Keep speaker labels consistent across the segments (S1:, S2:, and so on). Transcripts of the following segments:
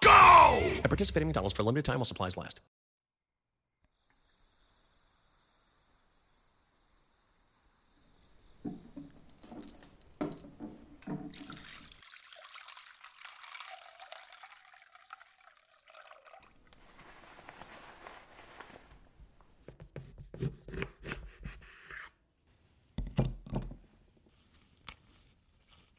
S1: go! At participating McDonald's for a limited time while supplies last.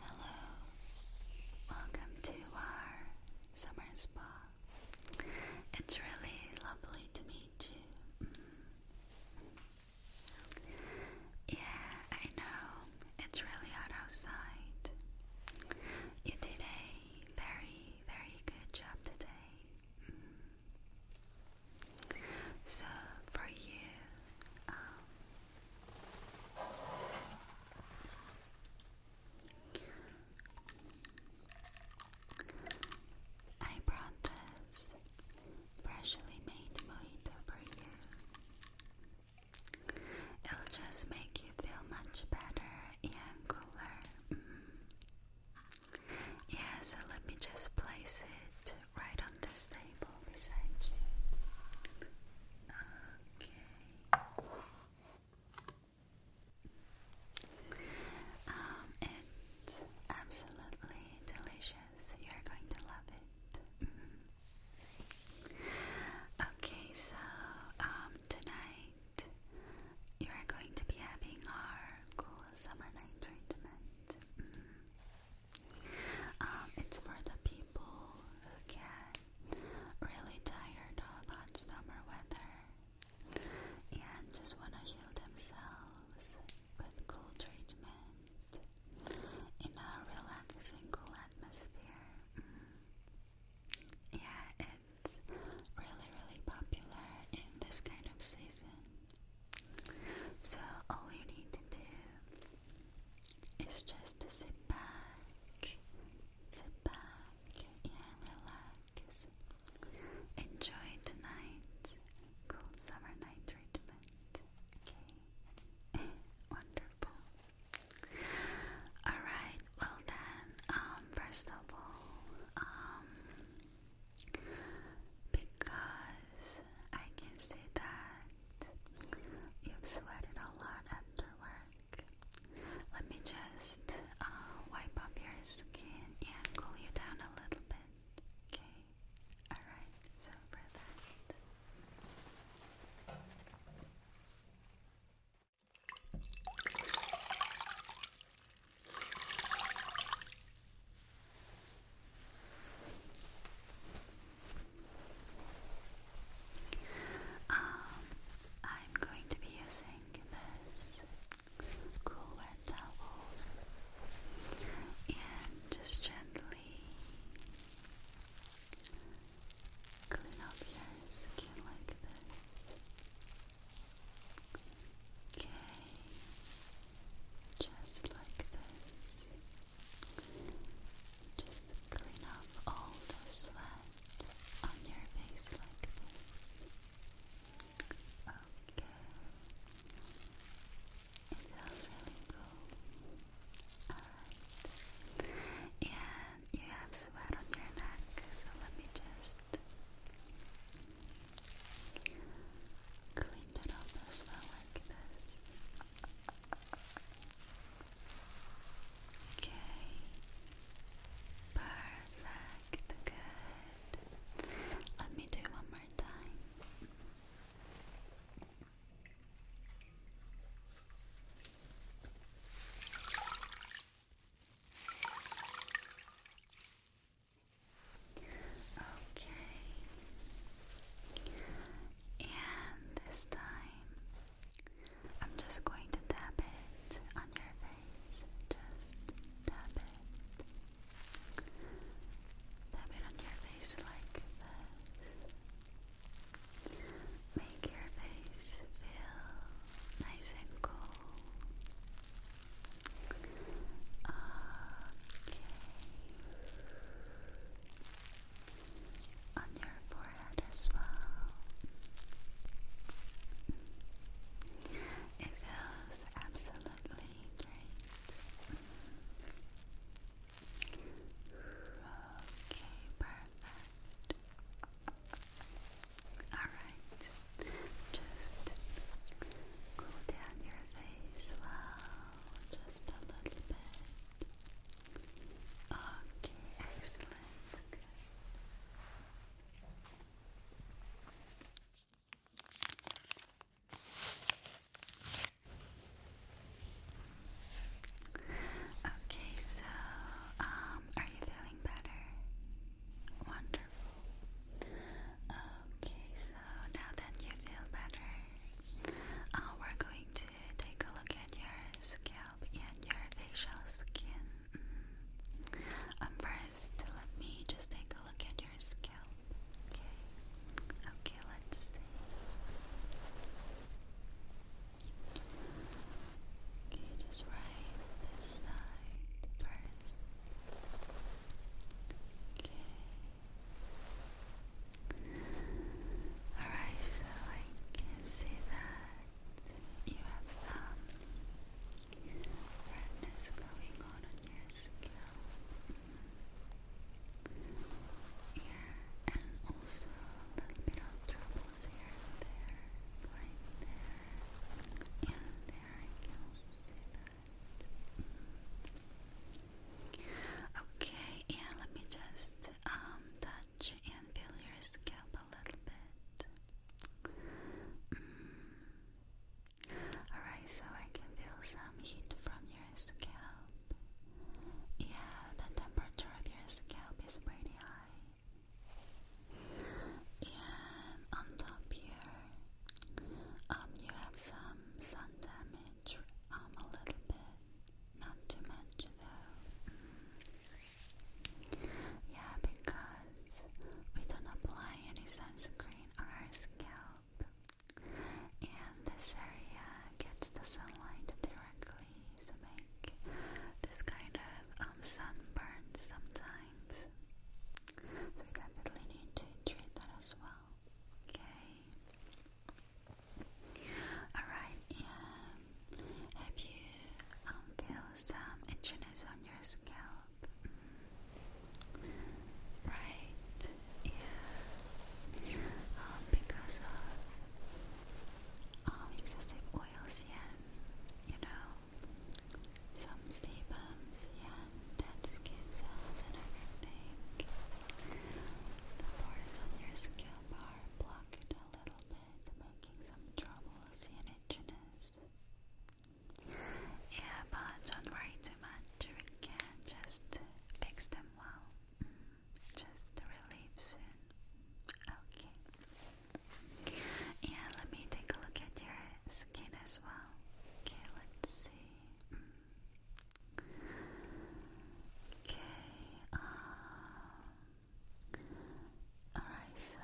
S1: Hello, welcome to our summer spa. It's really lovely to meet you. Mm. Yeah, I know, it's really hot outside. You did a very, very good job today. So for you, um, I brought this freshly made mojito for you. It'll just make you feel much better and cooler. Mm let me just place it right on this table beside you. Okay. Um, it's absolutely delicious. You're going to love it. Mm-hmm. Okay, so um, tonight you are going to be having our cool summer night treatment. Mm-hmm. Um, it's for the people who get really tired of hot summer weather and just want to heal themselves with cool treatment in a relaxing, cool atmosphere. Mm. Yeah, it's really, really popular in this kind of season. So, all you need to do is just to sit back, sit back, and relax. Enjoy tonight's cool summer night treatment. Okay, wonderful. Alright, well then, um, first of all, um, because I can see that you've sweated a lot after Let me just uh, wipe off your skin and cool you down a little bit. Okay, alright, so for that. Um, I'm going to be using this cool wet towel and just gently clean up your skin like this. Okay just like this. Just clean off all the sweat on your face like this. Okay. It feels really cool. And you have sweat on your neck, so let me just Cleaned it up as well like this. Okay. Perfect. Good. Let me do one more time. Okay. And this time, I'm just going to tap it on your face. Just tap it. Tap it on your face like this. Make your face feel nice and cool. Okay. On your forehead as well. It feels absolutely great. Okay, perfect. Alright, just cool down your face well just a little bit. Okay, excellent. Okay, so um, are you feeling better? Wonderful. Okay, so now that you feel better, uh, we're going to take a look at your scalp and your facial skin. Mm. Um, first, let me just take a look at your scalp. Okay, okay, let's see. Okay, just right this side first. Alright, so I can see that you have some redness going on on your scalp. Yeah, and also a little bit of troubles here there, right there, and there Okay, and let me just um, touch and feel your scalp a little bit. Mm. Alright, so I can feel some heat from your scalp. Yeah, the temperature of your scalp is pretty high. And on top here, um, you have some sun damage um, a little bit, not too much though. Yeah, because we don't apply any sunscreen on our scalp, and this area gets the sunlight directly to make this kind of um, sunburn sometimes. So we definitely need to treat that as well. Okay. Alright, yeah. Have you um, feel some itchiness on your scalp? Mm. Right, yeah. Um, because of um, excessive oils, yeah. You know, some sebums, yeah dead skin cells and everything. The pores on your scalp are blocked a little bit, making some troubles and itchiness. Yeah, but don't worry too much. We can just fix them well. Mm, just relieve soon. Okay. Yeah, let me take a look at your skin as well. Okay, let's see. Mm. Okay, um, alright, so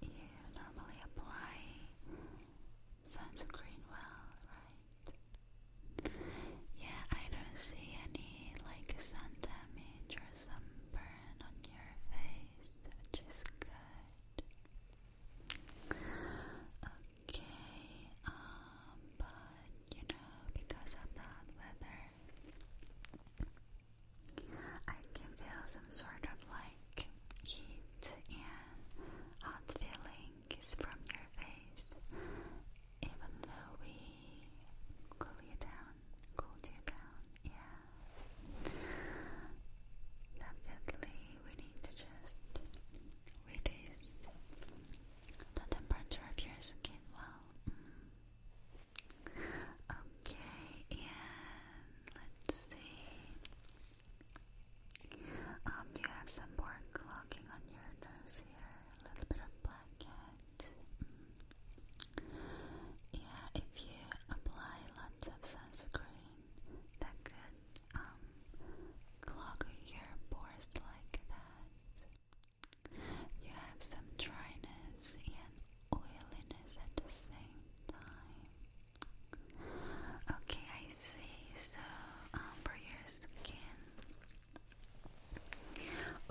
S1: you normally apply sunscreen well, right? Yeah, I don't see any like sun damage or sunburn on your face, which is good okay, um, but you know, because of the weather, I can feel some sort of like heat and hot feelings from your face, even though we cool you down, cool you down, yeah. Definitely, we need to just release the temperature of your skin well. Mm. Okay, and let's see. Um, you have some more clogging on your nose here, a little bit of blackhead. Mm. Yeah, if you apply lots of sunscreen, that could um, clog your pores like that. You have some dryness and oiliness at the same time. Okay, I see. So, um, for your skin,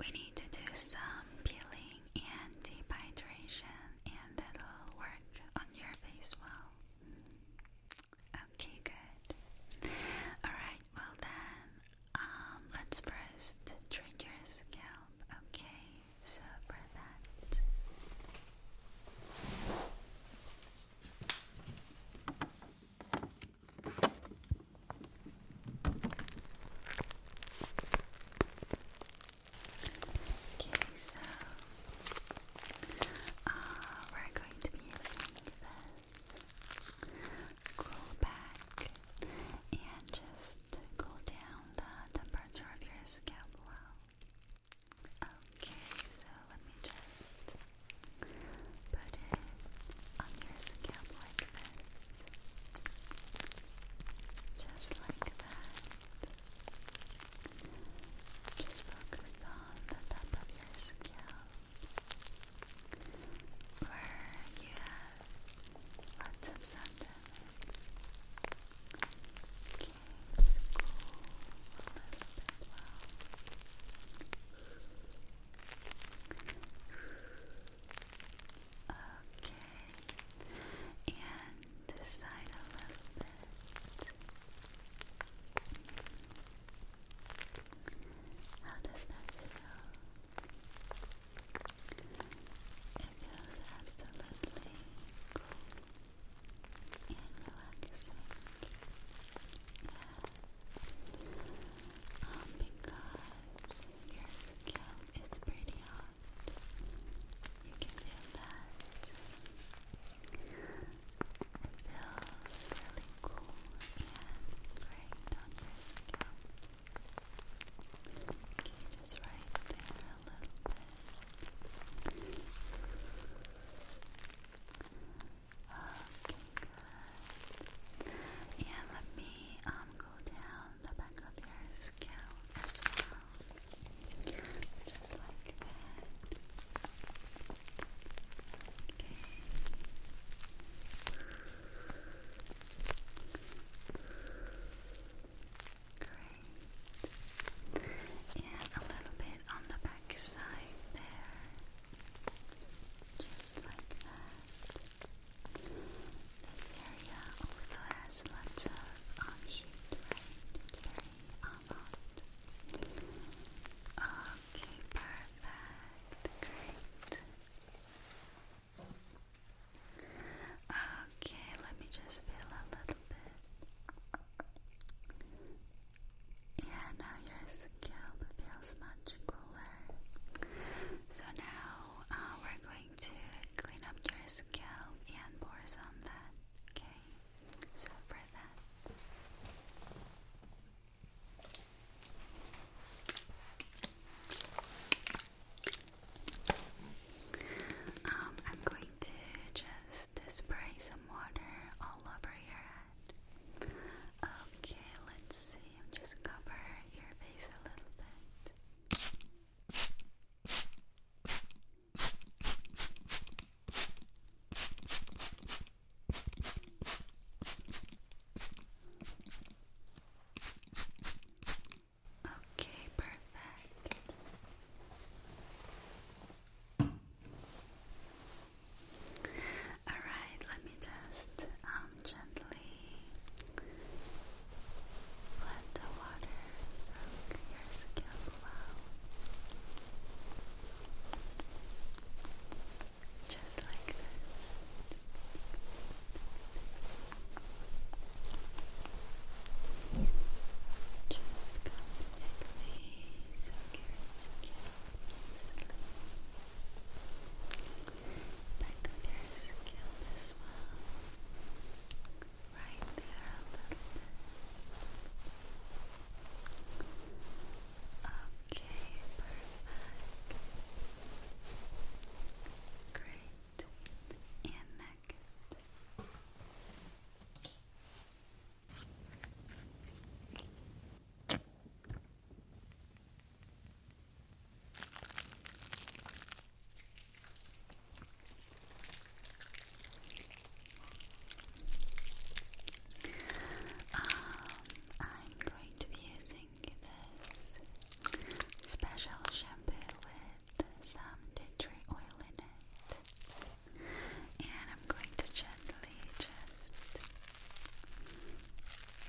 S1: we need to do some peeling and deep and that'll work on your face well. Okay, good. Alright, well then, um, let's first treat your okay? So for that. Okay, so uh, we're going to be using this Go back and just cool down the temperature of your scalp well. Okay, so let me just put it on your scalp like this. Just like that. Just focus on the top of your scalp where you have lots of sun Okay, cool Okay, and this a little bit. How does that feel? It feels absolutely cool and relaxing. Yeah. Um, because your scalp is pretty hot. You can feel that feels really cool and great on your scalp. Okay, just right there a little bit. Okay, good. And let me um go down the back of your scalp as well. Just like that. Great. And a little bit on the back side there. Just like that. This area also has lots of heat, right? It's very hot. Uh, Okay, perfect. Great. Okay, let me just feel a little bit. Yeah, now your scalp feels much cooler. So now uh, we're going to clean up your scalp and pores on that. Okay, so for that. Um, I'm going to just spray some water all over your head. Okay, let's see. I'm just cover your face a little bit. Okay, perfect. All right, let me just um gently let the water soak your scalp well just like this. Just completely secure back of your scalp as well, right there a little bit. Okay, perfect. Great. And next. Um, I I'm going to be using this special shampoo with some tea tree oil in it. And I'm going to gently just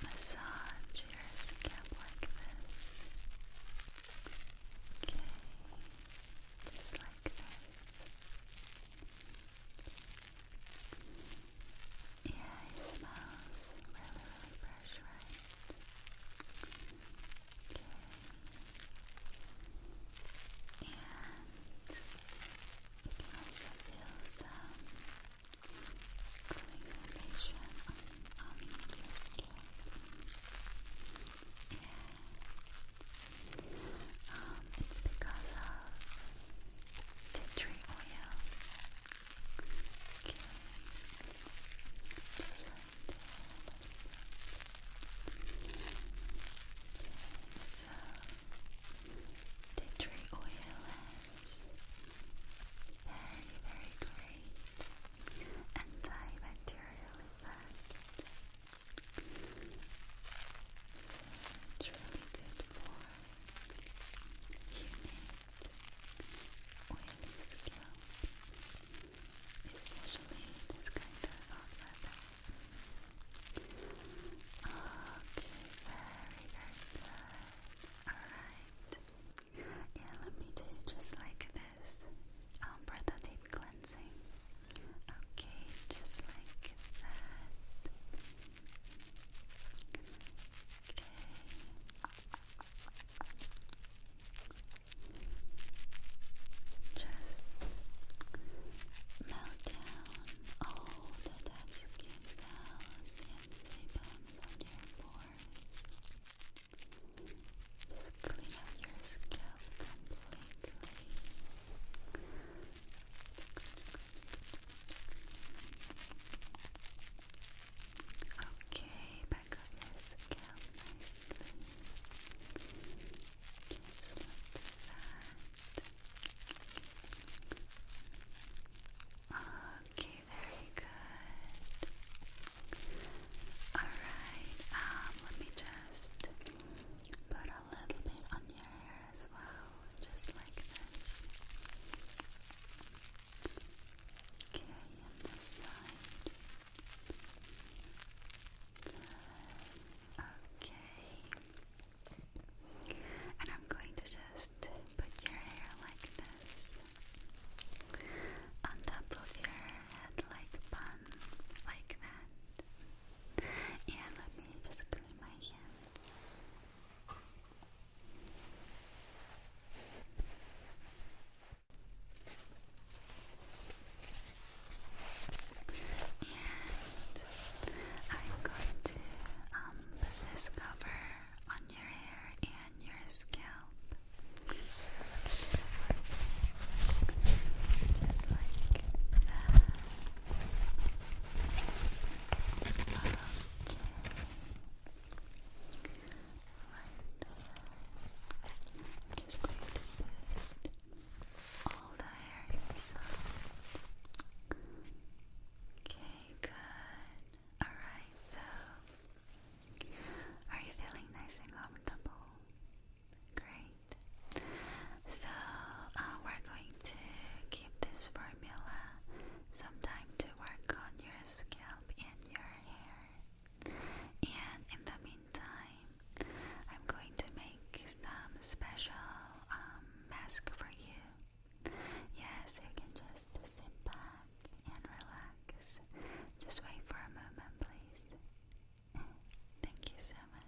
S1: massage your scalp like this. Okay, just like that. Yeah, it smells really, really fresh, right? Okay. And you can also feel some cooling sensation on, your skin. Yeah. it's because of tea tree oil. Okay. Just right Okay, so tea tree oil is very, very great antibacterial effect. So it's really good for oily scalp, especially this kind of hot weather. Okay, very, good. Alright. Yeah, let me do just like this. Um, Deep Cleansing. Okay, just like that. Just melt down all the dead skin cells and sebums on your pores. Just clean out your scalp completely. Okay, back up your scalp Just like that. Okay, very good. Alright, um, let me just put a little bit on your hair as well, just like this. Okay, and this side. Okay. And I'm going to just put your hair like this on top of your head, like bun, like that. Yeah, let me just clean my hand. I'm going to um, put on your hair and your scalp. Just like that. Um, I'm just going all the hair inside. Okay, good. Alright, so are you feeling nice and comfortable? Great. So uh, we're going to give this formula some time to work on your scalp and your hair. And in the meantime, I'm going to make some special um, mask for you. Yes, you can just sit back and relax. Just wait for a moment, please. Thank you so much.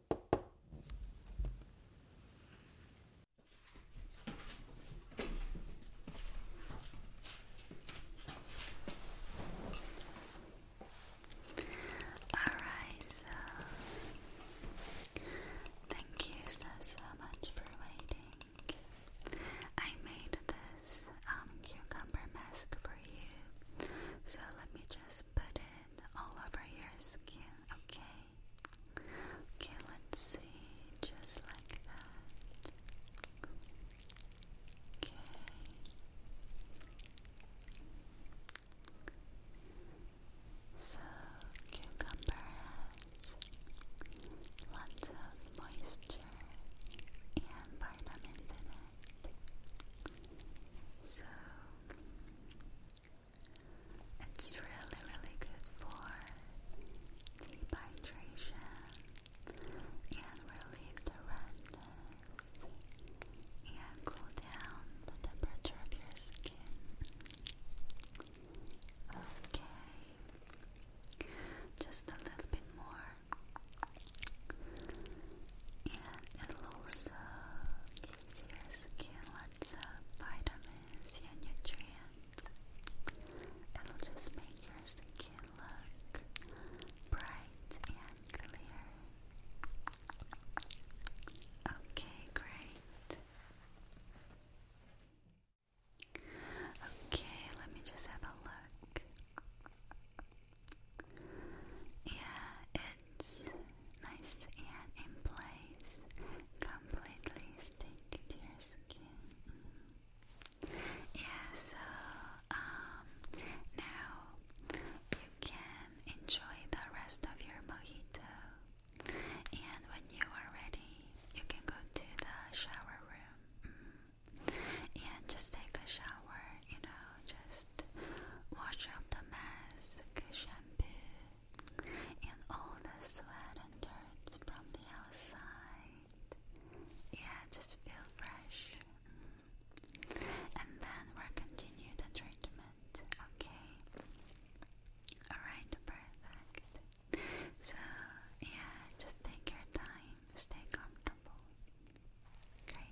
S1: Alright, so thank you so so much for waiting. I made this um, cucumber mask for you. So let me just put it all over your skin, okay? Okay, let's see, just like that. Okay. So, cucumber has lots of moisture and vitamins in it. So, it's really, really good for deep hydration and relieve the redness and cool down the temperature of your skin. Okay, just a little bit more, and it'll also gives your skin lots vitamins and nutrients. It'll just make your skin look bright and clear. Okay, great. Okay, let me just have a look. Yeah, nice and in place, completely stick to your skin. Mm-hmm. Yeah, so um, now you can enjoy the rest of your mojito, and when you are ready, you can go to the shower room. Mm-hmm. And just take a shower, you know, just wash up the mask, shampoo, and all the sweat and dirt from the outside. Yeah, just feel fresh. Mm. And then we'll continue the treatment, okay? Alright, perfect. So, yeah, just take your time, stay comfortable. Great.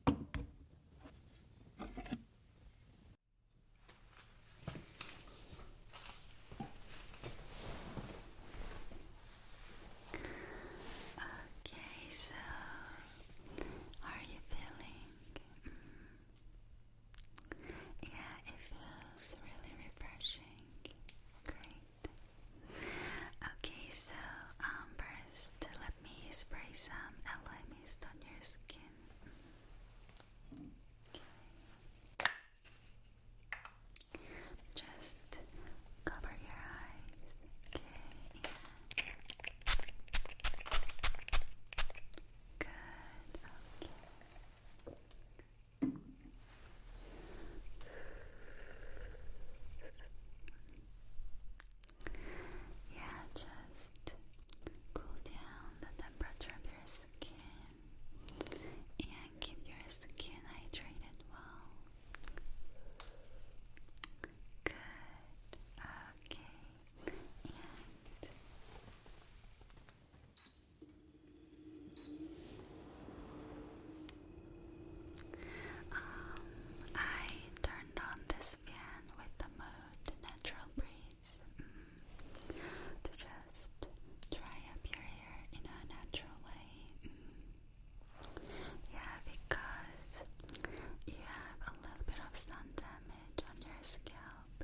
S1: Okay, so are you feeling? Mm, yeah, it feels really refreshing. Great. Okay, so um, first, let me spray some aloe on your skin. Just cover your eyes. Okay. Good. Okay. Yeah, just cool down the temperature of your skin and keep your skin hydrated well. Good. Okay. And um, I turned on this with the mood, the natural breeze. Mm. To just dry up your hair in a natural way. Mm. Yeah, because you have a little bit of sun damage on your scalp.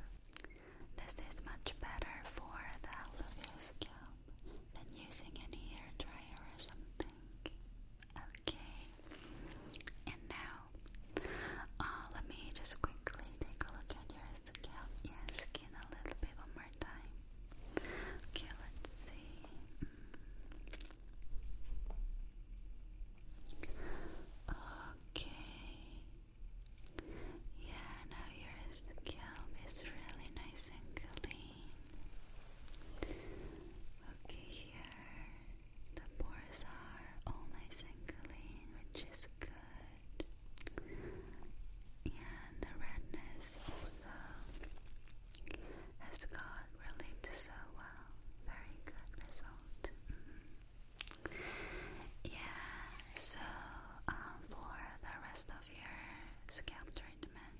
S1: This is much better for the health of your scalp than using any hair dryer or something. Okay. And now, uh, let me just quickly take a look at your scalp. Yeah, skin a little bit one more time. Okay, let's see. Okay. Yeah, now your scalp is really nice and clean. Okay, here. The pores are all nice and clean, which is good. And the redness also has got relieved so well. Very good result. Mm-hmm. Yeah, so um, for the rest of your scalp treatment,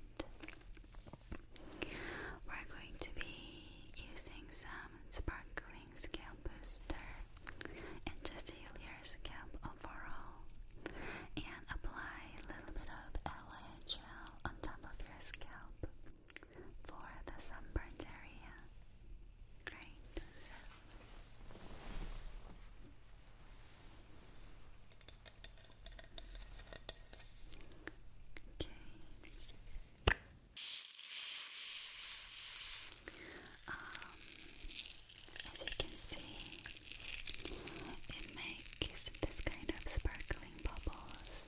S1: we're going to be using some sparkling scalp booster and just heal your scalp overall and apply a little bit of LA on top of your scalp for the sunburned area. Great. Okay. Um, as you can see, it makes this kind of sparkling bubbles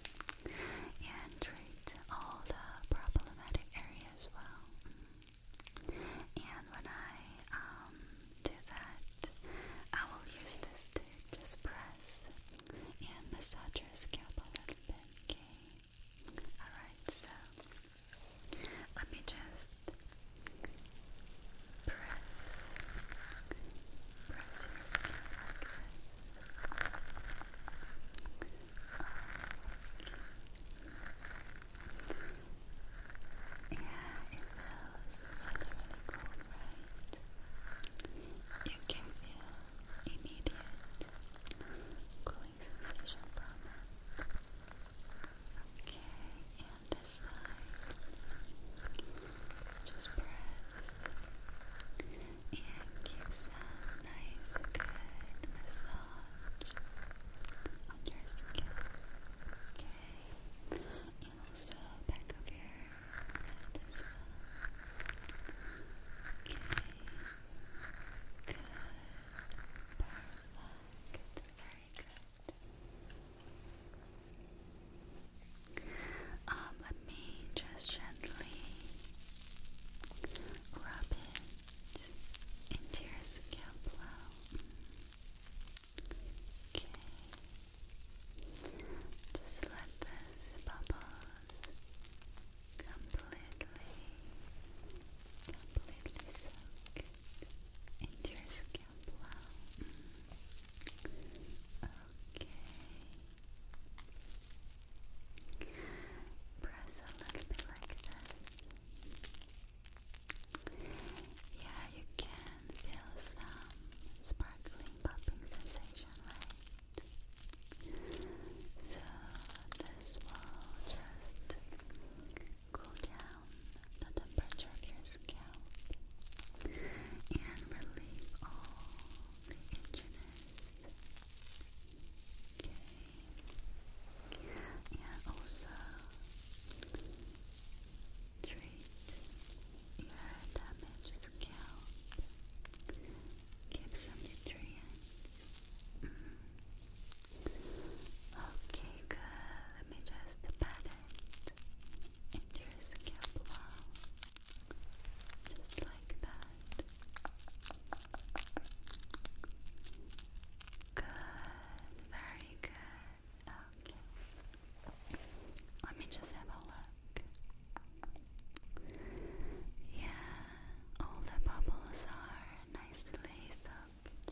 S1: and treat all the problematic areas well. And when I um, do that, I will use this to just press and massage your scalp Okay. Alright, so let me just press, press your skin Yeah, it feels really, really cool, right? You can feel immediate cooling sensation from it. Okay, and this side, just press and give some nice, good massage on your skin. Okay, and also back of your Good as let me just gently rub it into your scalp Okay. Just let this bubbles completely, completely soaked into your scalp Okay. Press a little bit like that. Yeah, you can feel some sparkling popping sensation, so this will just cool down the temperature of your scalp and relieve all the itchiness. Okay. And also treat your damaged scalp Get some nutrients. Okay, good. Let me just pat it into your scalp Just like that. Good. Very good. Okay. Let me just have a look. Yeah, all the bubbles are nicely soaked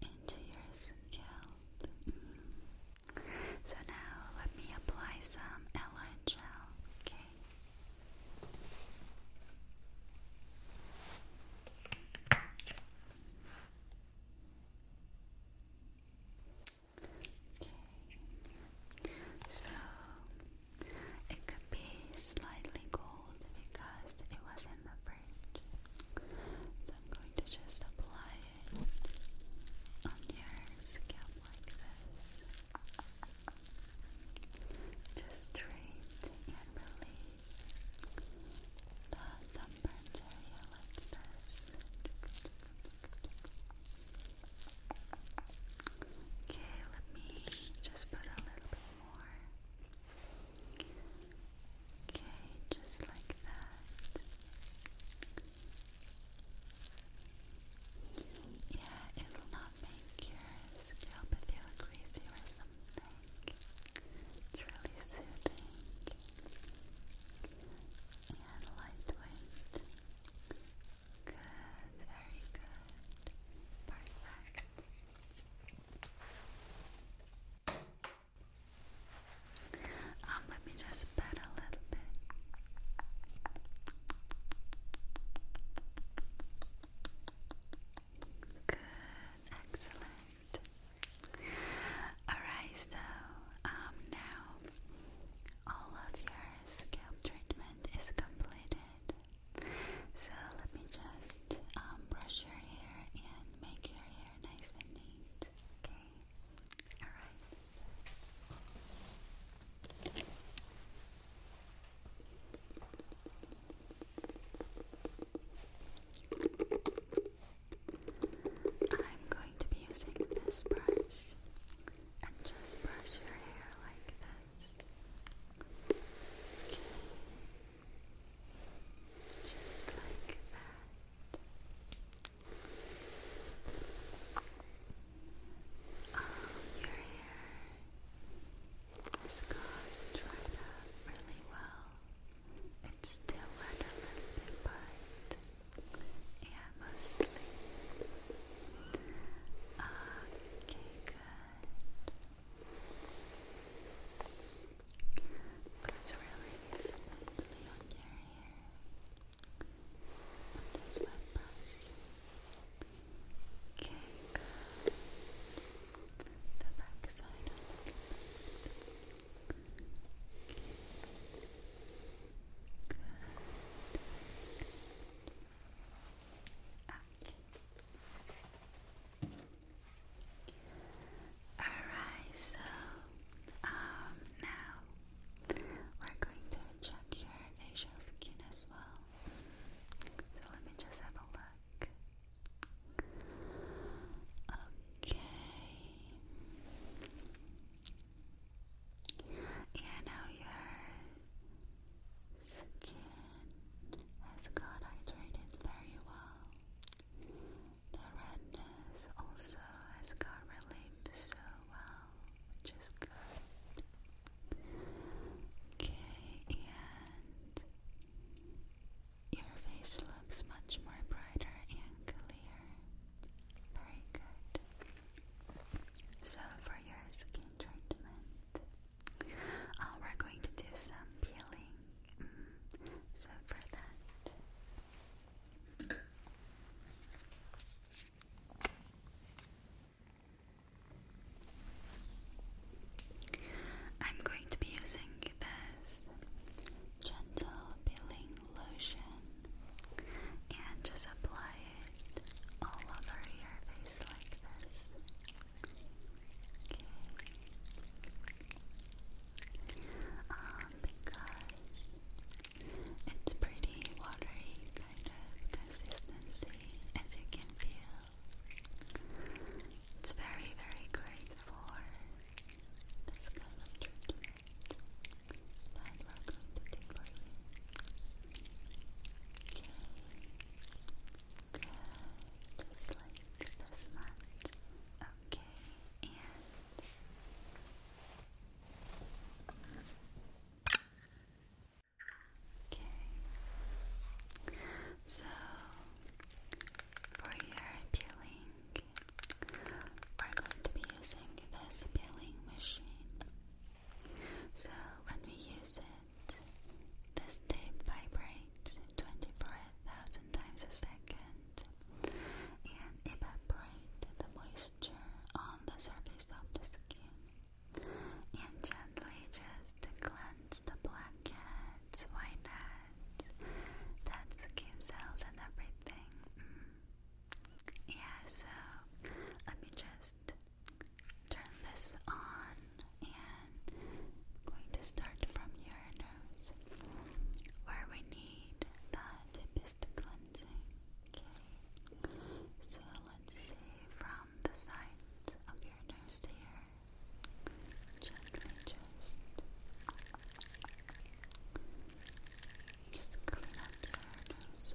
S1: into your scalp. Mm. So now let me apply some aloe gel, okay? Okay. So it could be slightly cold because it was in the fridge. I'm going to just apply it on your scalp like this. Just trace and release the sunburns area like this. Okay, let me just put a little bit more. Okay, just like that. Yeah, it'll not make your scalp feel greasy or something. It's really soothing and lightweight. Good, very good. Perfect. Um, let me just pat a little bit. Good, excellent. Alright, so um, now all of your scalp treatment is completed. So let me just um, brush your hair and make your hair nice and neat. Okay? Alright. I'm going to be using this brush and just brush your hair like this. Just like that. Oh, your hair has gone dried up really well. It's still wet a little bit, yeah, mostly Okay, good. Let's really smoothly on your hair. With this wet brush. Okay, The back side Good. Okay. Alright, so um, now we're going to check your facial skin as well. So let me just have a look. Okay. Yeah, now your skin has got hydrated very well. The redness also has got relieved so well, which is good. Okay, and your face looks much more brighter and clear. Very good. So, for your skin, uh, we're going to do some peeling. Mm, so for that. I'm going to be using this gentle peeling lotion and just apply all over your face like this. Okay. Um, because it's pretty watery kind of consistency, as you can feel. It's very, very great for this kind of treatment that we're going to do for you. Good. Just like this much. Okay, and Okay. So for your peeling, we're going to be using this peeling machine. So when we use it this tape vibrates 24,000 times a second and evaporates the moisture on the surface of the skin and gently just cleanse the blackheads, whiteheads, dead skin cells and everything. Mm. Yeah, so let me just turn this on and I'm going to start from your nose where we need the deepest cleansing. Okay, so let from the sides of your nose to here. Gently just just clean up your nose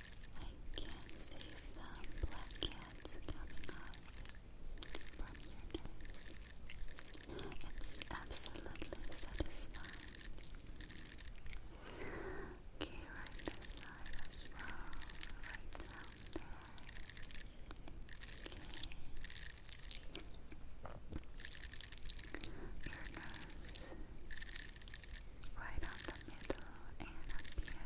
S1: can see some black coming up from your nose. It's absolutely satisfying. Okay, right this side as well, right down Okay. Your nose, right on the middle and up here.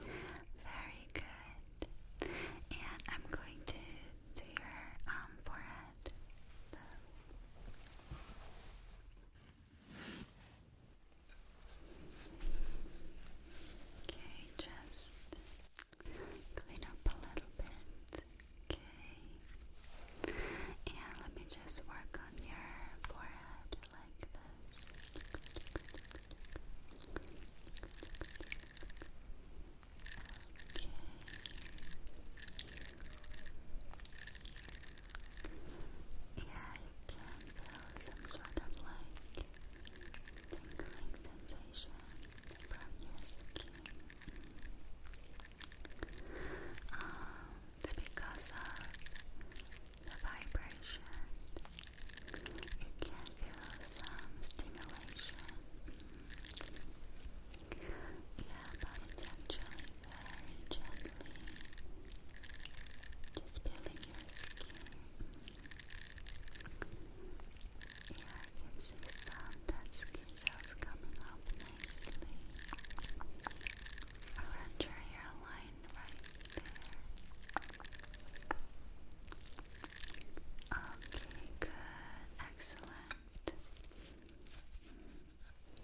S1: Very good. And I'm going to do your um, forehead. So. Okay, just clean up a little bit. Okay. And let me just work on your forehead like yeah, you can feel some sort of like tingling sensation from your skin. Um, because of the vibration you can feel some stimulation. Yeah, but it's actually very gently just peeling your skin. Yeah, I can see some dead skin cells coming up nicely around your hairline right there. Okay, good, excellent.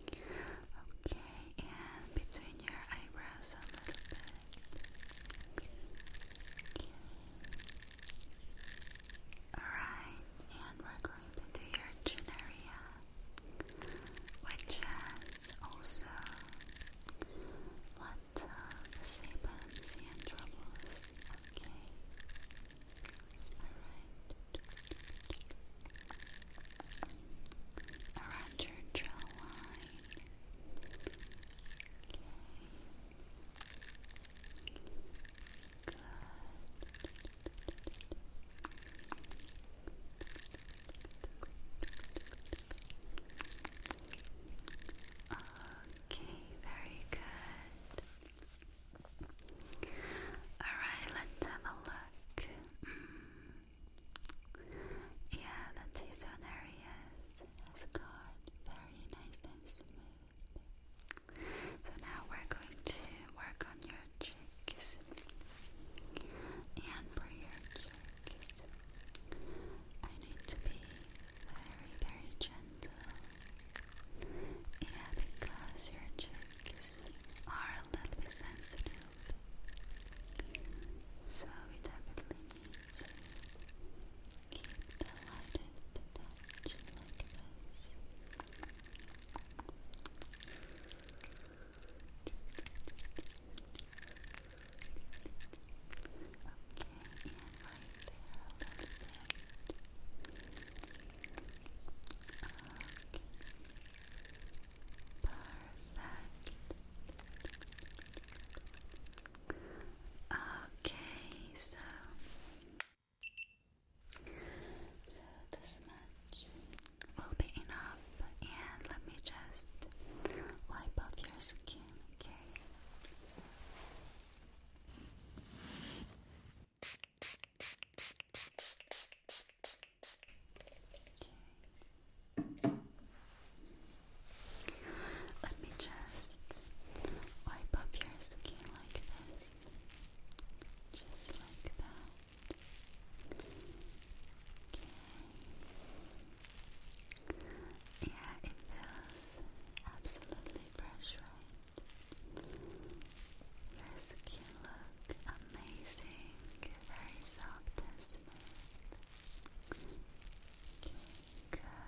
S1: Okay, and between your eyebrows a little bit. Alright, and we're going to do your chin area, which has also Let's uh, and troubles. Okay. Around your jawline. Okay. Good. Uh, Okay, very good. Alright, let's have a look. Mm. Yeah, the T-zone areas has got very nice and smooth. So now we're going to work on your cheeks and for your cheeks. I need to be very, very gentle. Yeah, because your cheeks are a little sensitive. So we definitely need the lightest touch Okay, so so this much will be enough and let me just wipe off your skin, okay? Okay. Let me just wipe up your skin like this, just like that. Okay. Yeah, it feels absolutely fresh, right? Your skin look amazing, very soft and smooth. good.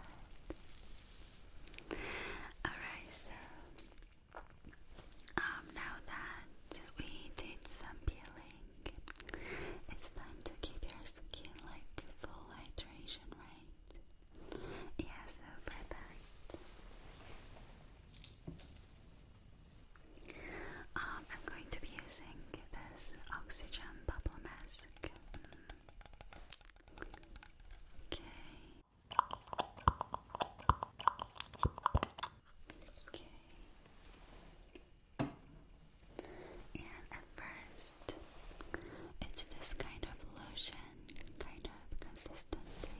S1: Alright, so um, now that we did some peeling, it's time to keep your skin like full hydration, right? Yeah, so for um, I'm going to be using this oxygen bubble mask. Mm. Okay. Okay. And at first, it's this kind of lotion kind of consistency.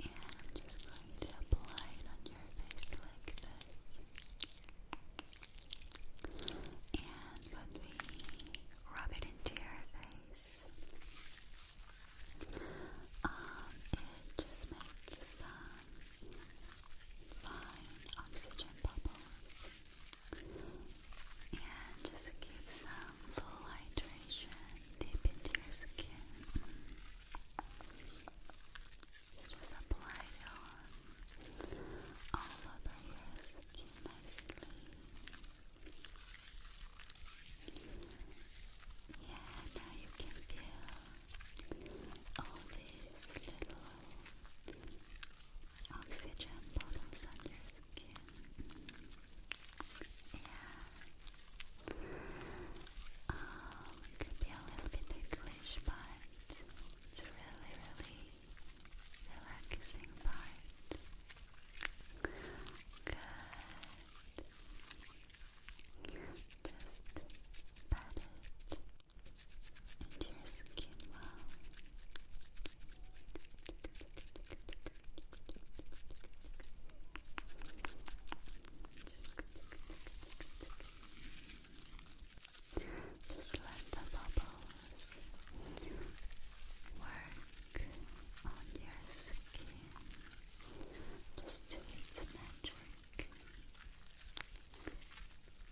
S1: And I'm just going to apply it on your face like this. And when we rub it into your face, um, it just makes some fine oxygen bubbles. And just give some full hydration deep into your skin. Just apply it on all over your skin nicely. Yeah, now you can feel all these little oxygen bubbles under skin. Yeah. Um, it could be a little bit ticklish, but it's really, really relaxing part. Good. Just pat it to your skin well. Just let the bubbles work on your skin just do its magic.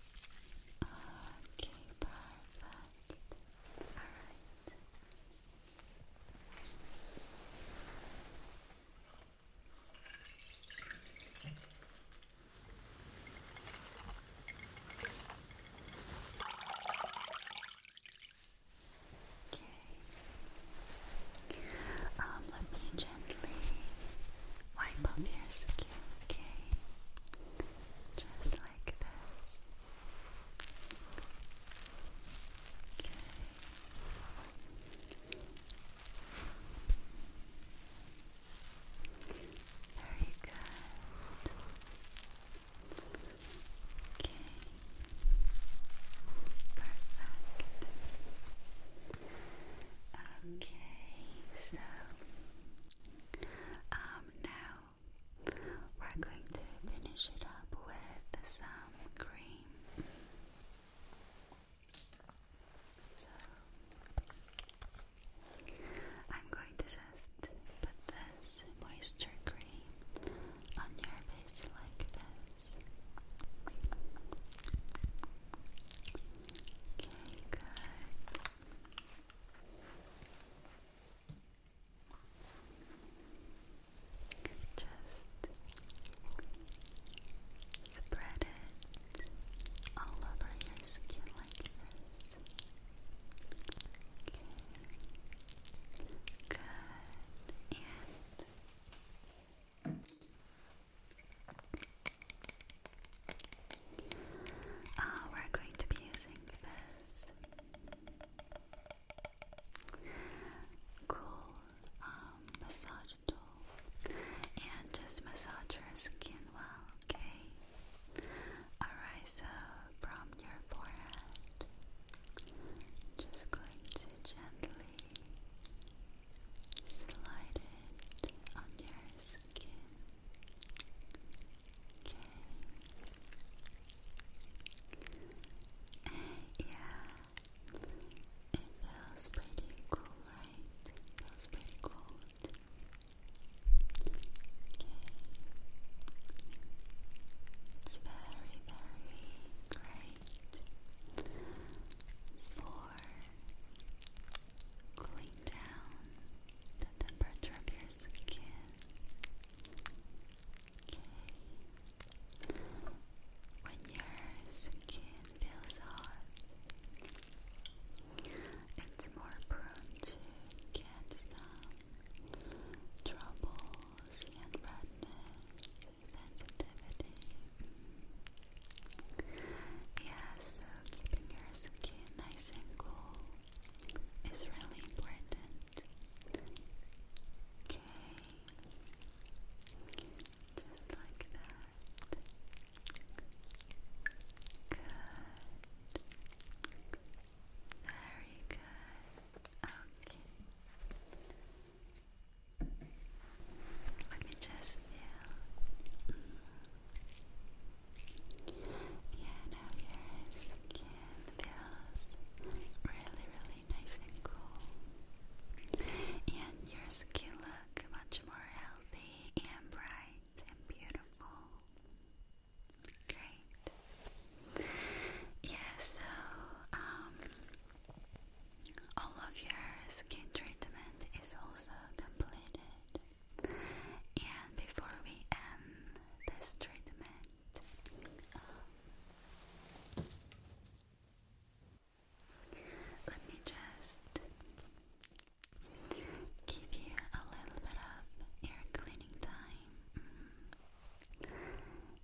S1: Okay, perfect. Alright. Okay. Um, let me gently wipe off your skin you, okay? Just like this. Okay. Very good. Okay. Perfect. Okay, so um now. We're going to finish it up with some cream. So I'm going to just put this moisture cream on your face like this. Okay, good. Just spread it all over your skin like this. Okay. Good. And uh, we're going to be using this cool um, massage tool and just massage your skin well, okay? Alright, from your forehead, just going to gently slide it on your skin yeah, it feels pretty cool, right? feels pretty cold. Okay. It's very, very great for cooling down the temperature of your skin. Okay. When your skin feels hot, it's more prone to cancer, troubles, and redness, sensitivity. Mm. so keeping your skin nice and cool is really important. Okay, just like that. Good. Very good. Okay. Let me just feel. Mm. And how your skin feels really, really nice and cool. And your skin look much more healthy and bright and beautiful. Great. Yeah, so um all of your skin treatment is also completed. And before we end this treatment, um, let me just give you a little bit of air cleaning time. Mm.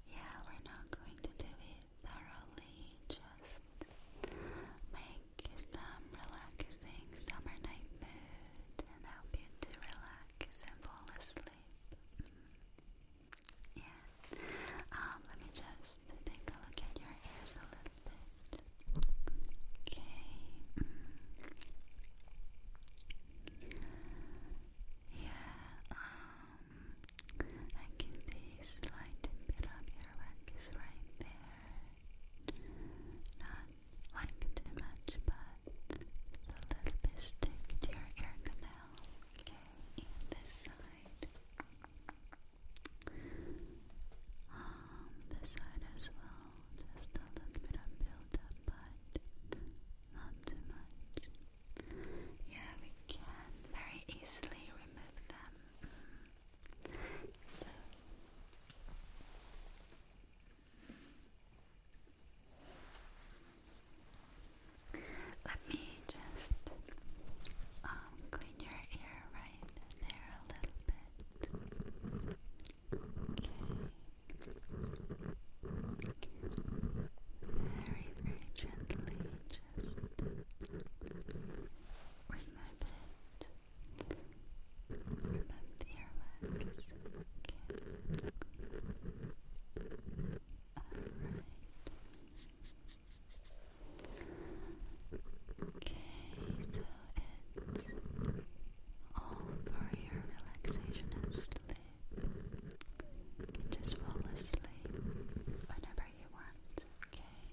S1: Yeah, we're not going to do it thoroughly, just make some relaxing summer night moves and help you to relax and fall asleep. Yeah. Um, let me just take a look at your ears a little bit. Okay. Mm. Yeah. Um, I can see a slight bit of your right there like too much, but a little bit stick to your ear canal. Okay, and this side. Um, this side as well. Just a little bit of build but not too much. Yeah, we can very easily remove them. Mm. So let me just um, clean your ear right there a little bit. Okay. Very, very gently just remove it. Remove the earwax. Okay. Alright. Okay, so it's all for your relaxation and sleep. just fall asleep whenever you want, okay?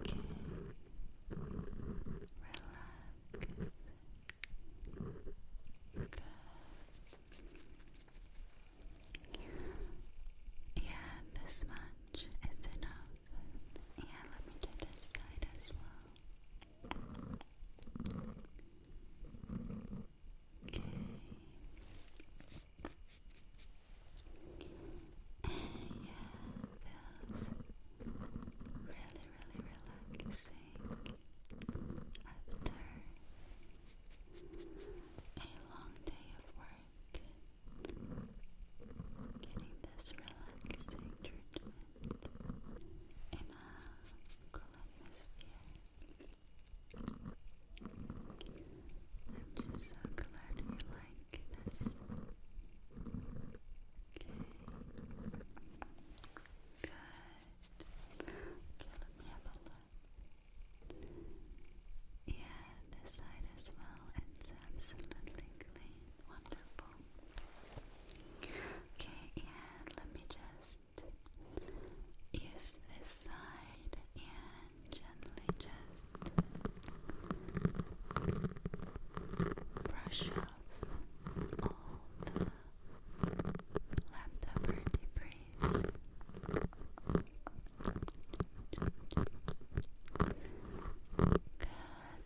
S1: Okay. Relax. Good. Yeah, this much is enough. Yeah, let me do this side as well. Okay. yeah, feels really, really relaxing after a long day of work. Getting this relaxing treatment in a cool atmosphere. I'm just so glad you like this Good. Okay, let me have a look. Yeah, this side as well. It's absolutely clean. Wonderful. Okay, and let me just use this side and gently just brush up off all the leftover debris. Good,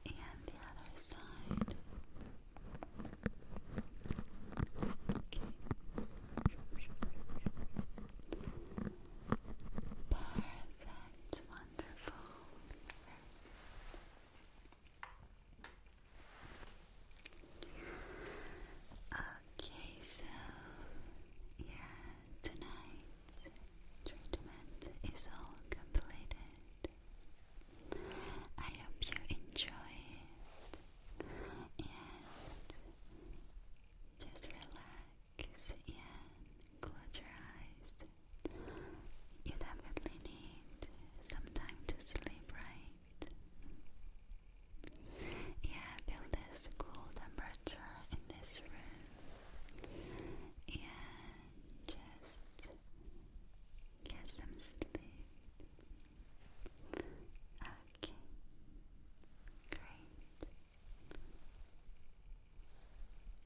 S1: and the other side. Perfect, wonderful. Okay, so yeah, tonight's treatment is all completed. I hope you enjoy it and just relax and close your eyes you definitely need some time to sleep, right? Yeah, feel this cool temperature in this room. And just get some sleep. Okay. Great.